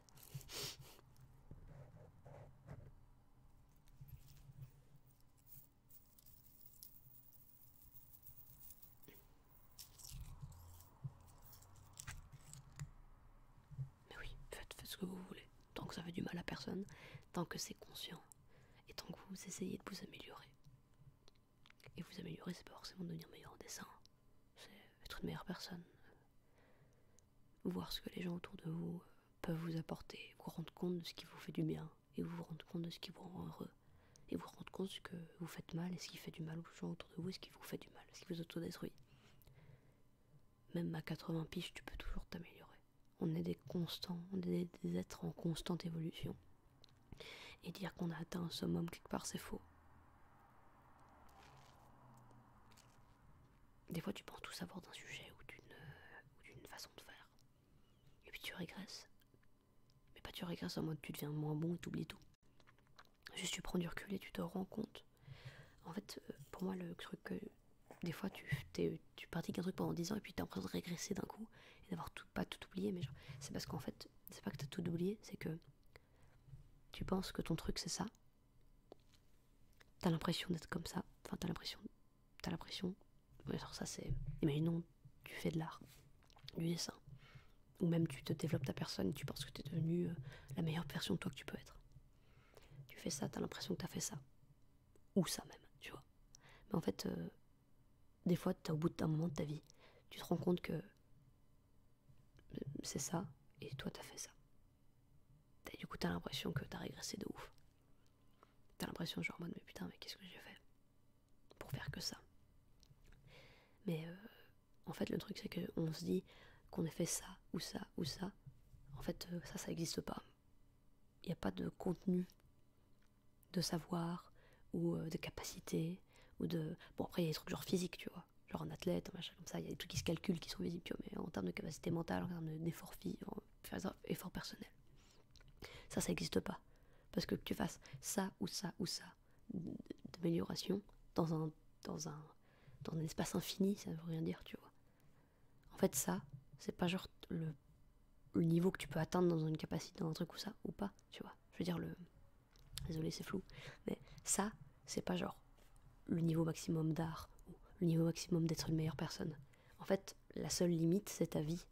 Mais oui, faites, ce que vous voulez, tant que ça fait du mal à personne, tant que c'est conscient, et tant que vous essayez de vous améliorer. Et vous améliorer, c'est pas forcément devenir meilleur en dessin, c'est être une meilleure personne, voir ce que les gens autour de vous euh, peuvent vous apporter, vous rendre compte de ce qui vous fait du bien, et vous vous rendre compte de ce qui vous rend heureux, et vous rendre compte de ce que vous faites mal, et ce qui fait du mal aux gens autour de vous, et ce qui vous fait du mal, ce qui vous autodestruit Même à 80 piges, tu peux toujours t'améliorer. On est des constants, on est des êtres en constante évolution. Et dire qu'on a atteint un summum quelque part, c'est faux. Des fois, tu penses tout savoir d'un sujet euh, ou d'une façon de faire. Et puis tu régresses. Mais pas tu régresses en mode tu deviens moins bon et oublies tout. Juste tu prends du recul et tu te rends compte. En fait, euh, pour moi, le truc que. Des fois, tu, tu pratiques un truc pendant 10 ans et puis t'as l'impression de régresser d'un coup et d'avoir tout, pas tout oublié. Mais c'est parce qu'en fait, c'est pas que t'as tout oublié, c'est que tu penses que ton truc c'est ça, T'as l'impression d'être comme ça. Enfin, t'as l'impression. T'as l'impression. ça, c'est. Imaginons, tu fais de l'art, du dessin. Ou même tu te développes ta personne et tu penses que t'es devenue euh, la meilleure version de toi que tu peux être. Tu fais ça, t'as l'impression que t'as fait ça. Ou ça même, tu vois. Mais en fait, euh, des fois, au bout d'un moment de ta vie, tu te rends compte que c'est ça, et toi t'as fait ça. Et du coup t'as l'impression que t'as régressé de ouf. T'as l'impression genre mais putain mais qu'est-ce que j'ai fait pour faire que ça. Mais euh, en fait le truc c'est On se dit qu'on a fait ça ou ça ou ça. En fait euh, ça ça n'existe pas. Il n'y a pas de contenu de savoir ou euh, de capacité ou de... Bon après il y a des trucs genre physiques tu vois genre en athlète, machin comme ça, il y a des trucs qui se calculent, qui sont visibles, tu vois, mais en termes de capacité mentale, en termes d'effort en effort personnel. Ça, ça n'existe pas. Parce que tu fasses ça ou ça ou ça d'amélioration dans un, dans, un, dans un espace infini, ça ne veut rien dire, tu vois. En fait, ça, c'est pas genre le niveau que tu peux atteindre dans une capacité, dans un truc ou ça, ou pas, tu vois. Je veux dire, le, Désolé, c'est flou. Mais ça, c'est pas genre le niveau maximum d'art ou le niveau maximum d'être une meilleure personne. En fait, la seule limite, c'est ta vie.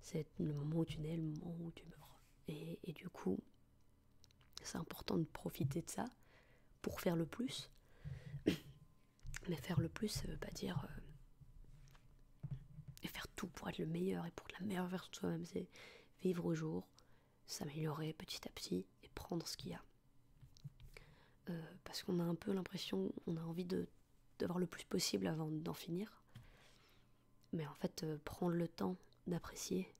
C'est le moment où tu nais, le moment où tu meurs. Et, du coup, c'est important de profiter de ça pour faire le plus. Mais faire le plus, ça veut pas dire. Euh, faire tout pour être le meilleur et pour la meilleure version de soi-même, c'est vivre au jour, s'améliorer petit à petit et prendre ce qu'il y a. Euh, parce qu'on a un peu l'impression, on a envie d'avoir le plus possible avant d'en finir. Mais en fait, euh, prendre le temps d'apprécier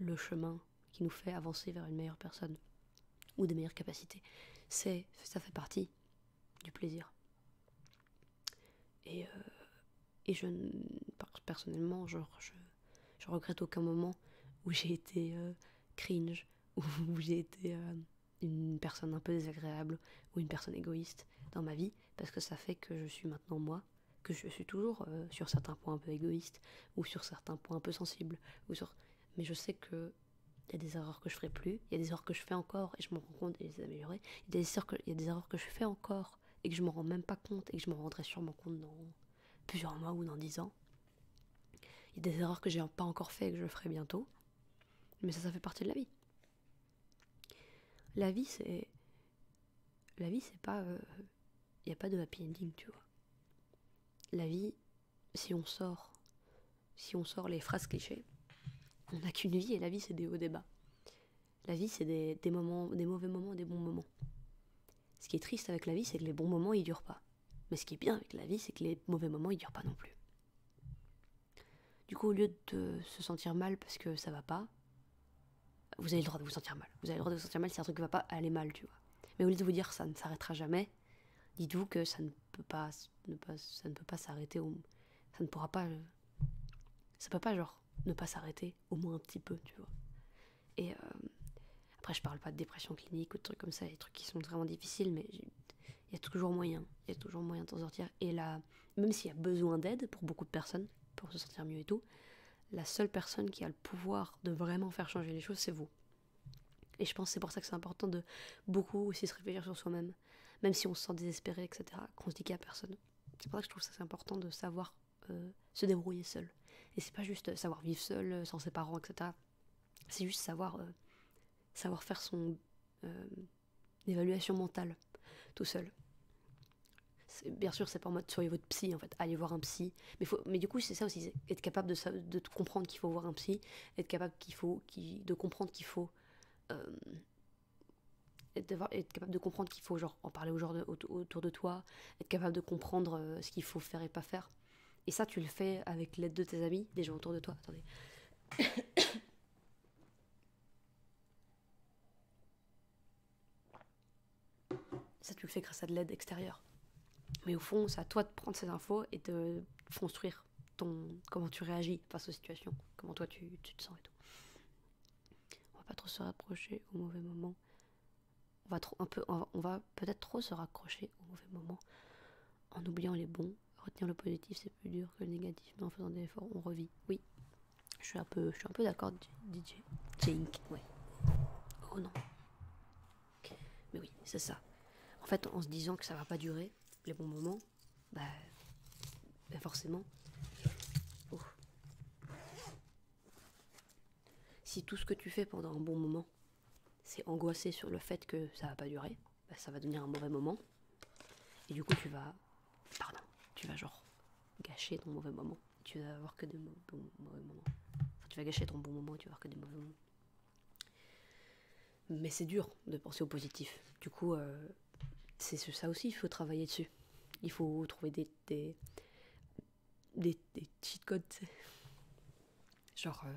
le chemin qui nous fait avancer vers une meilleure personne ou des meilleures capacités, c'est ça fait partie du plaisir. Et, euh, et je, personnellement, genre, je euh, je regrette aucun moment où j'ai été euh, cringe, où, j'ai été euh, une personne un peu désagréable ou une personne égoïste dans ma vie, parce que ça fait que je suis maintenant moi, que je suis toujours sur certains points un peu égoïste ou sur certains points un peu sensibles, ou mais je sais que il y a des erreurs que je ferai plus, il y a des erreurs que je fais encore et je m'en rends compte et je les améliorer. Il y, a des erreurs il y a des erreurs que je fais encore et que je m'en rends même pas compte et que je m'en rendrai sûrement compte dans plusieurs mois ou dans dix ans. Il y a des erreurs que j'ai pas encore fait et que je ferai bientôt. Mais ça, ça fait partie de la vie. La vie, c'est. La vie, c'est pas. Il euh, n'y a pas de happy ending, tu vois. La vie, si on sort. Si on sort les phrases clichés, on n'a qu'une vie et la vie, c'est des hauts des bas. La vie, c'est des, des, moments, des mauvais moments, des bons moments. Ce qui est triste avec la vie, c'est que les bons moments, ils durent pas. Mais ce qui est bien avec la vie, c'est que les mauvais moments, ils durent pas non plus. Du coup, au lieu de se sentir mal parce que ça va pas, vous avez le droit de vous sentir mal. Vous avez le droit de vous sentir mal si un truc va pas aller mal, tu vois. Mais au lieu de vous dire ça ne s'arrêtera jamais, dites-vous que ça ne peut pas, s'arrêter, ça ne peut pas s'arrêter, ça ne pourra pas, euh, ça peut pas genre ne pas s'arrêter au moins un petit peu, tu vois. Et euh, après, je parle pas de dépression clinique ou de trucs comme ça, des trucs qui sont vraiment difficiles, mais il y a toujours moyen, il y a toujours moyen de s'en sortir. Et là, même s'il y a besoin d'aide pour beaucoup de personnes, pour se sentir mieux et tout, la seule personne qui a le pouvoir de vraiment faire changer les choses, c'est vous. Et je pense c'est pour ça que c'est important de beaucoup aussi se réfléchir sur soi-même, même si on se sent désespéré, etc., qu'on se dit qu'il n'y a personne. C'est pour ça que je trouve ça c'est important de savoir euh, se débrouiller seul. Et c'est pas juste savoir vivre seul, euh, sans ses parents, etc. C'est juste savoir, euh, savoir faire son évaluation mentale tout seul. Bien sûr, c'est pas en mode soyez votre psy en fait, allez voir un psy. Mais, faut, mais du coup, c'est ça aussi, être capable de, comprendre qu'il faut voir un psy, être capable qu'il faut, de comprendre qu'il faut être, capable de comprendre qu'il faut genre en parler au genre autour de toi, être capable de comprendre euh, ce qu'il faut faire et pas faire. Et ça, tu le fais avec l'aide de tes amis, des gens autour de toi. Attendez. ça, tu le fais grâce à de l'aide extérieure. Mais au fond, c'est à toi de prendre ces infos et de construire ton comment tu réagis face aux situations, comment toi tu, tu te sens et tout. On va pas trop se rapprocher au mauvais moment on va, un peu, on va, peut-être trop se raccrocher au mauvais moment en oubliant les bons. Retenir le positif, c'est plus dur que le négatif, mais en faisant des efforts, on revit. Oui, je suis un peu, je suis un peu d'accord, DJ. Jink, Oh non. Mais oui, c'est ça. En fait, en se disant que ça va pas durer, les bons moments, bah, bah forcément. Si tout ce que tu fais pendant un bon moment, c'est angoisser sur le fait que ça va pas durer, bah, ça va devenir un mauvais moment. Et du coup, tu vas. Pardon, tu vas genre gâcher ton mauvais moment. Tu vas avoir que des mauvais moments. tu vas gâcher ton bon moment et tu vas avoir que des mauvais moments. Mais c'est dur de penser au positif. Du coup, euh, c'est ça aussi, il faut travailler dessus. Il faut trouver des, des, des, cheat codes. Genre, euh,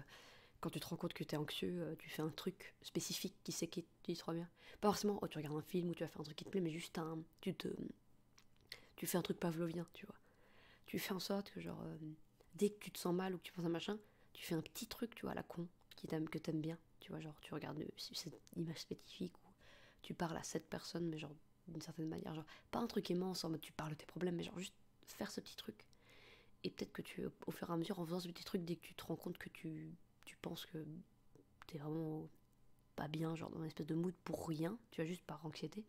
quand tu te rends compte que es anxieux, euh, tu fais un truc spécifique qui sait qui te bien. Pas forcément, oh, tu regardes un film ou tu as fait un truc qui te plaît, mais juste un. Tu te. Tu fais un truc pavlovien, tu vois. Tu fais en sorte que, genre, euh, dès que tu te sens mal ou que tu penses à un machin, tu fais un petit truc, tu vois, la con, qui que t'aimes bien. Tu vois, genre, tu regardes cette image spécifique ou tu parles à cette personne, mais genre d'une certaine manière. Genre, pas un truc immense en tu parles de tes problèmes, mais genre juste faire ce petit truc. Et peut-être que tu, au fur et à mesure, en faisant ce petit truc, dès que tu te rends compte que tu, penses que t'es vraiment pas bien, genre dans une espèce de mood pour rien, tu as juste par anxiété,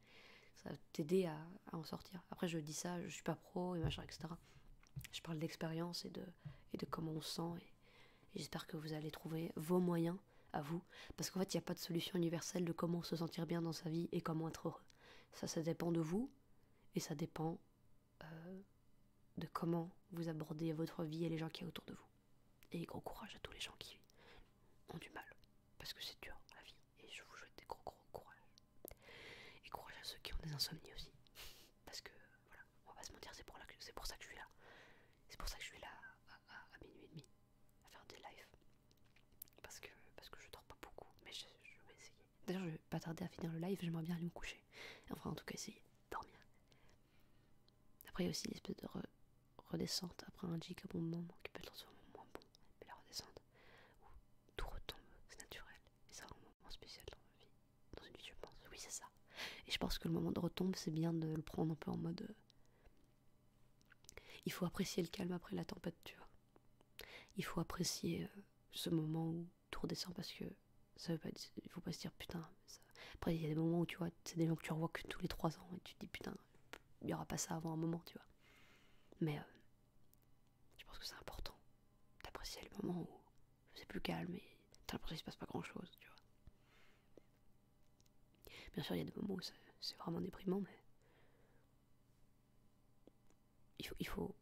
ça va t'aider à, en sortir. Après, je dis ça, je suis pas pro et machin, etc. Je parle d'expérience et de, et de comment on se sent. et j'espère que vous allez trouver vos moyens à vous. Parce qu'en fait, il n'y a pas de solution universelle de comment se sentir bien dans sa vie et comment être heureux. Ça, ça dépend de vous et ça dépend euh, de comment vous abordez votre vie et les gens qui sont autour de vous. Et gros courage à tous les gens qui ont du mal. Parce que c'est dur, la vie. Et je vous souhaite des gros, gros courage. Et courage à ceux qui ont des insomnies aussi. Parce que, voilà, on va pas se mentir, c'est pour, pour ça que je suis là. C'est pour ça que je suis là à, à minuit et demi, à faire des lives parce que, parce que je dors pas beaucoup, mais je, vais essayer. D'ailleurs, je vais pas tarder à finir le live, j'aimerais bien aller me coucher. Enfin, en tout cas, essayer de dormir. Après, il y a aussi l'espèce de redescente après un jig bon moment qui peut être un moment moins bon, mais la redescente où tout retombe, c'est naturel. Et c'est un moment spécial dans ma vie, dans une vie, je pense. Oui, c'est ça. Et je pense que le moment de retombe, c'est bien de le prendre un peu en mode. Euh, il faut apprécier le calme après la tempête, tu vois. Il faut apprécier euh, ce moment où tout redescend parce que ça veut pas il faut pas se dire putain. Après, il y a des moments où tu vois, c'est des gens que tu revois que tous les trois ans et tu te dis putain, il y aura pas ça avant un moment, tu vois. Mais euh, je pense que c'est important d'apprécier le moment où c'est plus calme et t'as l'impression qu'il se passe pas grand chose, tu vois. Bien sûr, il y a des moments où c'est vraiment déprimant, mais il faut,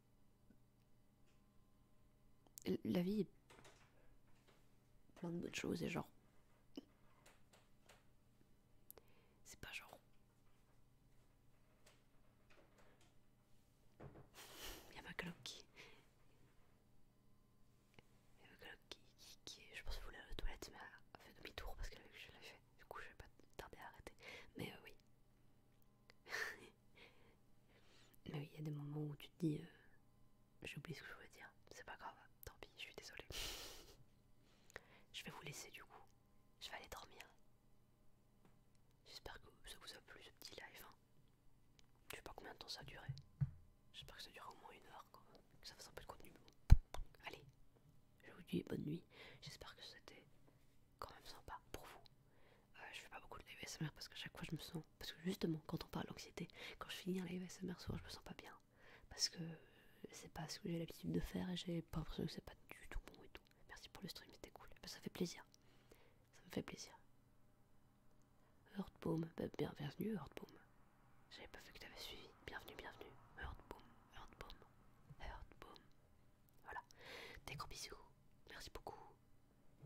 La vie est plein de bonnes choses et genre... C'est pas genre... Il y a ma coloc qui... Il y a ma coloc qui, Je pense que vous la toilette, mais elle a fait demi-tour parce que je l'ai fait. Du coup, je vais pas tarder à arrêter. Mais euh, oui. Mais oui, il y a des moments où tu te dis euh, j'ai oublié ce que je voulais dire. C'est pas grave, tant pis, je suis désolée. je vais vous laisser du coup. Je vais aller dormir. J'espère que ça vous a plu ce petit live. Hein. Je sais pas combien de temps ça a duré. J'espère que ça dure au moins une heure quoi ça fasse un peu de contenu. Allez, je vous dis bonne nuit. J'espère que c'était quand même sympa pour vous. Euh, je fais pas beaucoup de live ASMR parce que chaque fois je me sens. Parce que justement, quand on parle d'anxiété, quand je finis un live ASMR, souvent je me sens pas bien. Parce que c'est pas ce que j'ai l'habitude de faire et j'ai pas l'impression que c'est pas du tout bon et tout. Merci pour le stream, c'était cool. Ben, ça fait plaisir. Ça me fait plaisir. Heartbaume, ben, bienvenue Heartboom. J'avais pas vu que t'avais suivi. Bienvenue, bienvenue. Heard boom, heard boom, heard boom. Voilà. Des gros bisous. Merci beaucoup.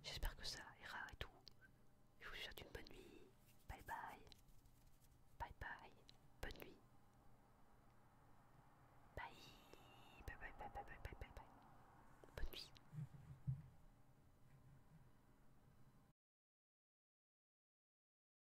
J'espère que ça ira et tout. Je vous souhaite une bonne nuit. Bye bye. Bye bye. Bonne nuit. bye bye bye bye bye bye. bye. Bonne nuit.